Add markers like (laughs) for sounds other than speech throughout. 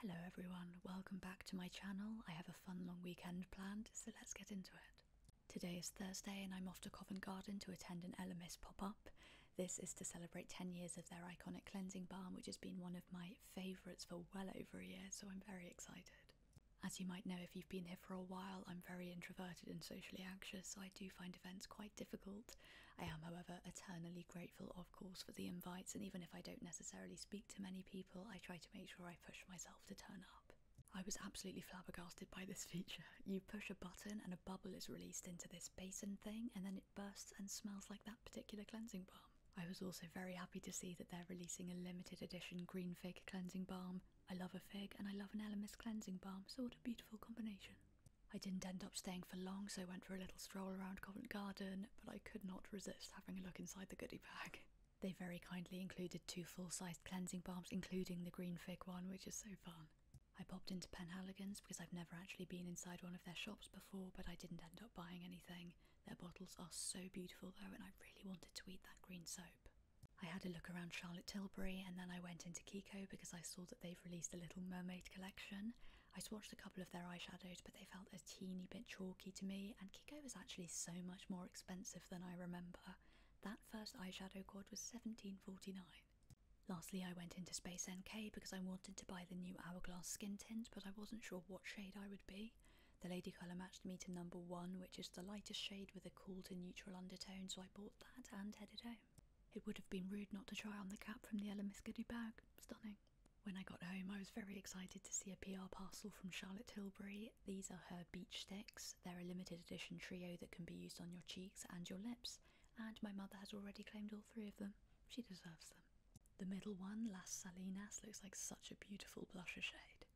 Hello everyone, welcome back to my channel. I have a fun long weekend planned, so let's get into it. Today is Thursday and I'm off to Covent Garden to attend an Elemis pop-up. This is to celebrate 10 years of their iconic cleansing balm, which has been one of my favourites for well over a year, so I'm very excited. As you might know if you've been here for a while, I'm very introverted and socially anxious, so I do find events quite difficult. I am, however, eternally grateful of course, for the invites, and even if I don't necessarily speak to many people, I try to make sure I push myself to turn up. I was absolutely flabbergasted by this (laughs) feature. You push a button and a bubble is released into this basin thing, and then it bursts and smells like that particular cleansing balm. I was also very happy to see that they're releasing a limited edition green fig cleansing balm. I love a fig and I love an Elemis cleansing balm, so what a beautiful combination. I didn't end up staying for long, so I went for a little stroll around Covent Garden, but I could not resist having a look inside the goodie bag. (laughs) They very kindly included two full-sized cleansing balms, including the green fig one, which is so fun. I popped into Penhaligon's because I've never actually been inside one of their shops before, but I didn't end up buying anything. Their bottles are so beautiful though, and I really wanted to eat that green soap. I had a look around Charlotte Tilbury and then I went into Kiko because I saw that they've released a Little Mermaid collection I swatched a couple of their eyeshadows, but they felt a teeny bit chalky to me, and Kiko was actually so much more expensive than I remember. That first eyeshadow quad was $17.49. Lastly, I went into Space NK because I wanted to buy the new Hourglass skin tint, but I wasn't sure what shade I would be. The Lady Colour matched me to number one, which is the lightest shade with a cool to neutral undertone, so I bought that and headed home. It would have been rude not to try on the cap from the Ella Miskadu bag. Stunning. When I got home, I was very excited to see a PR parcel from Charlotte Tilbury. These are her beach sticks. They're a limited edition trio that can be used on your cheeks and your lips, and my mother has already claimed all three of them. She deserves them. The middle one, Las Salinas, looks like such a beautiful blusher shade.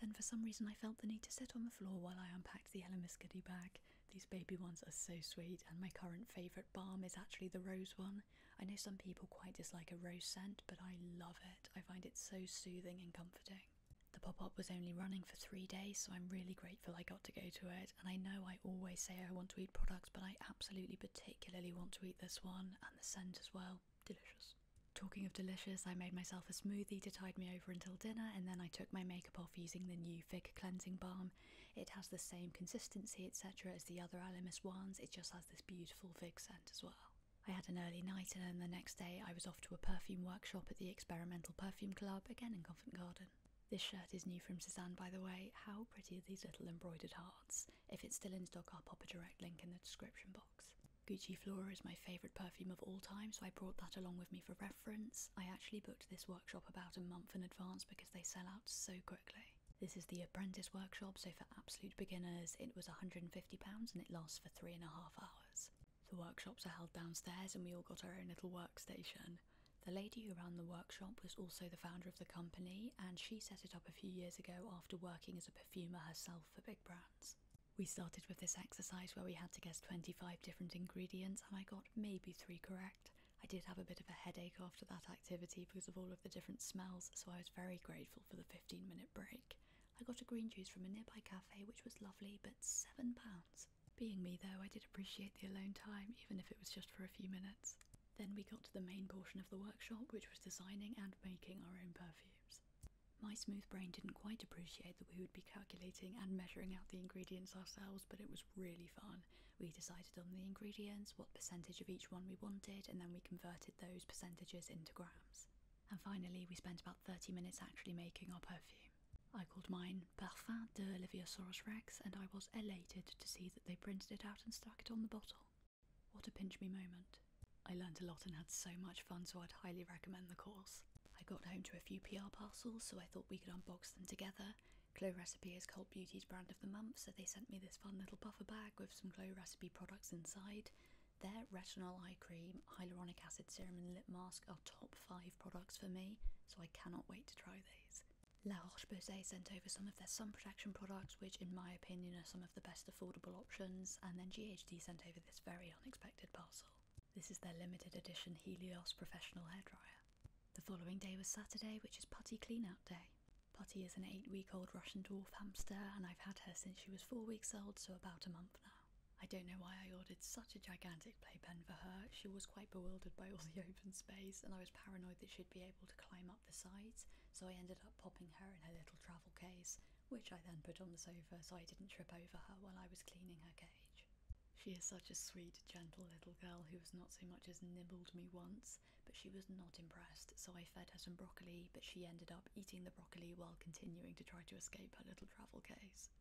Then for some reason I felt the need to sit on the floor while I unpacked the Elemis goodie bag. These baby ones are so sweet and my current favourite balm is actually the rose one. I know some people quite dislike a rose scent, but I love it. I find it so soothing and comforting. The pop up was only running for three days, so I'm really grateful I got to go to it. And I know I always say I want to eat products, but I absolutely particularly want to eat this one and the scent as well. Delicious. Talking of delicious, I made myself a smoothie to tide me over until dinner, and then I took my makeup off using the new Fig Cleansing Balm it has the same consistency, etc., as the other Alamis wands, it just has this beautiful fig scent as well. I had an early night, and then the next day I was off to a perfume workshop at the Experimental Perfume Club, again in Covent Garden. This shirt is new from Suzanne, by the way. How pretty are these little embroidered hearts? If it's still in stock, I'll pop a direct link in the description box. Gucci Flora is my favourite perfume of all time, so I brought that along with me for reference. I actually booked this workshop about a month in advance because they sell out so quickly. This is the apprentice workshop, so for absolute beginners it was £150 and it lasts for three and a half hours. The workshops are held downstairs and we all got our own little workstation. The lady who ran the workshop was also the founder of the company and she set it up a few years ago after working as a perfumer herself for big brands. We started with this exercise where we had to guess 25 different ingredients and I got maybe three correct. I did have a bit of a headache after that activity because of all of the different smells, so I was very grateful for the 15 minute break. I got a green juice from a nearby cafe, which was lovely, but £7. Being me though, I did appreciate the alone time, even if it was just for a few minutes. Then we got to the main portion of the workshop, which was designing and making our own perfumes. My smooth brain didn't quite appreciate that we would be calculating and measuring out the ingredients ourselves, but it was really fun we decided on the ingredients, what percentage of each one we wanted, and then we converted those percentages into grams. And finally, we spent about 30 minutes actually making our perfume. I called mine Parfum de Olivia Leviosaurus Rex, and I was elated to see that they printed it out and stuck it on the bottle. What a pinch me moment. I learned a lot and had so much fun, so I'd highly recommend the course. I got home to a few PR parcels, so I thought we could unbox them together. Glow Recipe is Cult Beauty's brand of the month, so they sent me this fun little puffer bag with some Glow Recipe products inside. Their retinol eye cream, hyaluronic acid serum, and lip mask are top five products for me, so I cannot wait to try these. La Roche-Posay sent over some of their sun protection products, which in my opinion are some of the best affordable options, and then GHD sent over this very unexpected parcel. This is their limited edition Helios professional hair dryer. The following day was Saturday, which is Putty clean-out day. Putty is an eight-week-old Russian dwarf hamster, and I've had her since she was four weeks old, so about a month now. I don't know why I ordered such a gigantic playpen for her. She was quite bewildered by all the open space, and I was paranoid that she'd be able to climb up the sides, so I ended up popping her in her little travel case, which I then put on the sofa so I didn't trip over her while I was cleaning her cage. She is such a sweet, gentle little girl who has not so much as nibbled me once, but she was not impressed, so I fed her some broccoli, but she ended up eating the broccoli while continuing to try to escape her little travel case.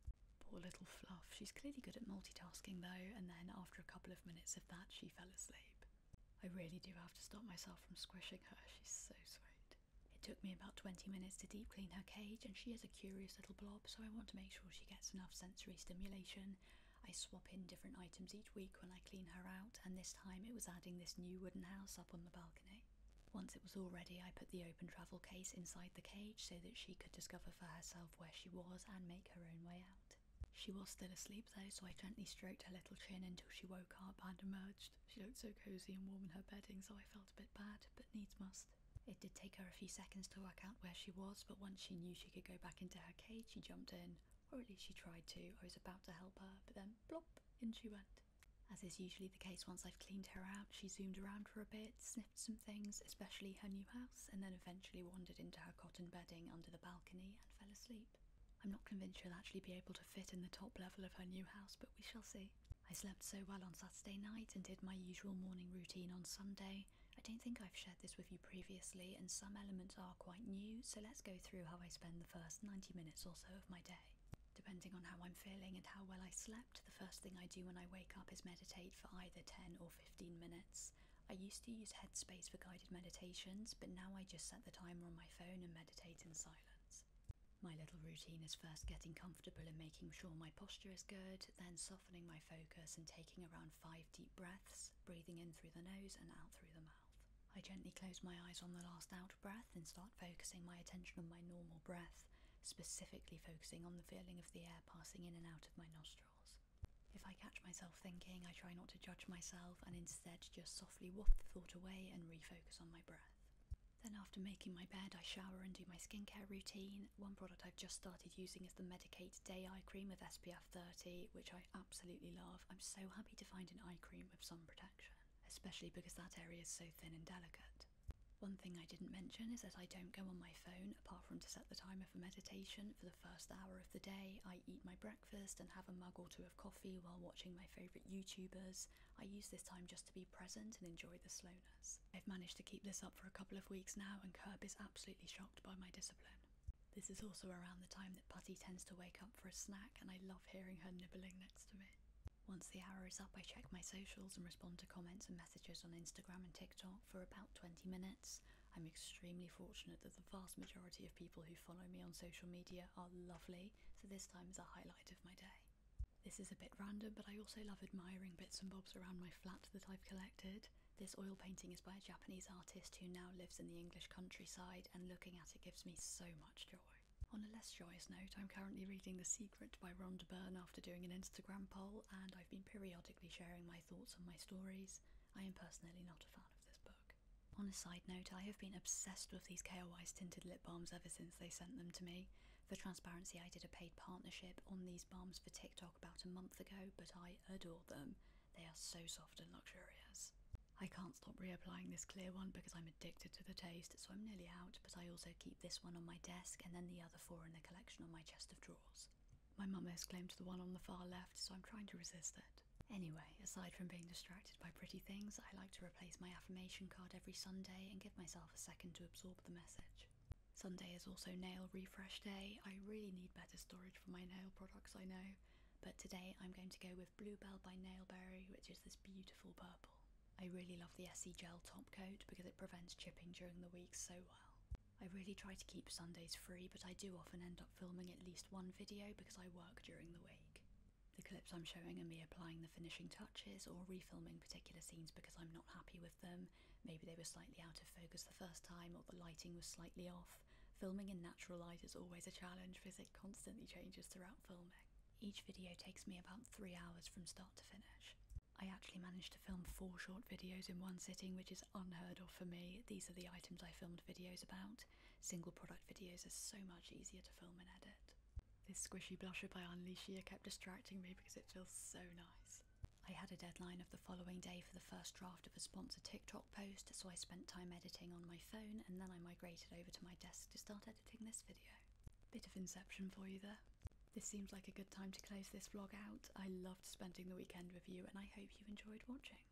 Poor little Fluff, she's clearly good at multitasking though, and then after a couple of minutes of that, she fell asleep. I really do have to stop myself from squishing her, she's so sweet. It took me about 20 minutes to deep clean her cage, and she is a curious little blob, so I want to make sure she gets enough sensory stimulation I swap in different items each week when I clean her out, and this time it was adding this new wooden house up on the balcony. Once it was all ready, I put the open travel case inside the cage so that she could discover for herself where she was and make her own way out. She was still asleep though, so I gently stroked her little chin until she woke up and emerged. She looked so cosy and warm in her bedding, so I felt a bit bad, but needs must. It did take her a few seconds to work out where she was, but once she knew she could go back into her cage, she jumped in, or at least she tried to. I was about to help her, but then plop, in she went. As is usually the case once I've cleaned her out, she zoomed around for a bit, sniffed some things, especially her new house, and then eventually wandered into her cotton bedding under the balcony and fell asleep. I'm not convinced she'll actually be able to fit in the top level of her new house, but we shall see. I slept so well on Saturday night and did my usual morning routine on Sunday, I don't think I've shared this with you previously, and some elements are quite new, so let's go through how I spend the first 90 minutes or so of my day. Depending on how I'm feeling and how well I slept, the first thing I do when I wake up is meditate for either 10 or 15 minutes. I used to use Headspace for guided meditations, but now I just set the timer on my phone and meditate in silence. My little routine is first getting comfortable and making sure my posture is good, then soft softening my focus and taking around five deep breaths, breathing in through the nose and out through the mouth. I gently close my eyes on the last out breath and start focusing my attention on my normal breath, specifically focusing on the feeling of the air passing in and out of my nostrils. If I catch myself thinking, I try not to judge myself and instead just softly waft the thought away and refocus on my breath. Then, after making my bed, I shower and do my skincare routine, one product I've just started using is the Medicate Day Eye Cream with SPF 30, which I absolutely love. I'm so happy to find an eye cream with sun protection, especially because that area is so thin and delicate. One thing I didn't mention is that I don't go on my phone apart from to set the timer for meditation for the first hour of the day. I eat my breakfast and have a mug or two of coffee while watching my favourite YouTubers. I use this time just to be present and enjoy the slow I've managed to keep this up for a couple of weeks now, and Curb is absolutely shocked by my discipline. This is also around the time that Putty tends to wake up for a snack, and I love hearing her nibbling next to me. Once the hour is up, I check my socials and respond to comments and messages on Instagram and TikTok for about 20 minutes. I'm extremely fortunate that the vast majority of people who follow me on social media are lovely, so this time is a highlight of my day. This is a bit random, but I also love admiring bits and bobs around my flat that I've collected. This oil painting is by a Japanese artist who now lives in the English countryside, and looking at it gives me so much joy. On a less joyous note, I'm currently reading The Secret by Rhonda Byrne after doing an Instagram poll, and I've been periodically sharing my thoughts on my stories. I am personally not a fan of this book. On a side note, I have been obsessed with these KOI's tinted lip balms ever since they sent them to me. For transparency, I did a paid partnership on these balms for TikTok about a month ago, but I adore them. They are so soft and luxurious. I can't stop reapplying this clear one because I'm addicted to the taste, so I'm nearly out, but I also keep this one on my desk and then the other four in the collection on my chest of drawers. My mum has claimed the one on the far left, so I'm trying to resist it. Anyway, aside from being distracted by pretty things, I like to replace my affirmation card every Sunday and give myself a second to absorb the message. Sunday is also nail refresh day. I really need better storage for my nail products, I know, but today I'm going to go with Bluebell by Nailberry, which is this beautiful purple. I really love the SE Gel top coat because it prevents chipping during the week so well. I really try to keep Sundays free, but I do often end up filming at least one video because I work during the week. The clips I'm showing are me applying the finishing touches or refilming particular scenes because I'm not happy with them. Maybe they were slightly out of focus the first time or the lighting was slightly off. Filming in natural light is always a challenge because it constantly changes throughout filming. Each video takes me about three hours from start to finish. I actually managed to film four short videos in one sitting, which is unheard of for me. These are the items I filmed videos about. Single product videos are so much easier to film and edit. This squishy blusher by Anlicia kept distracting me because it feels so nice. I had a deadline of the following day for the first draft of a sponsored TikTok post, so I spent time editing on my phone and then I migrated over to my desk to start editing this video. Bit of inception for you there. This seems like a good time to close this vlog out. I loved spending the weekend with you and I hope you enjoyed watching.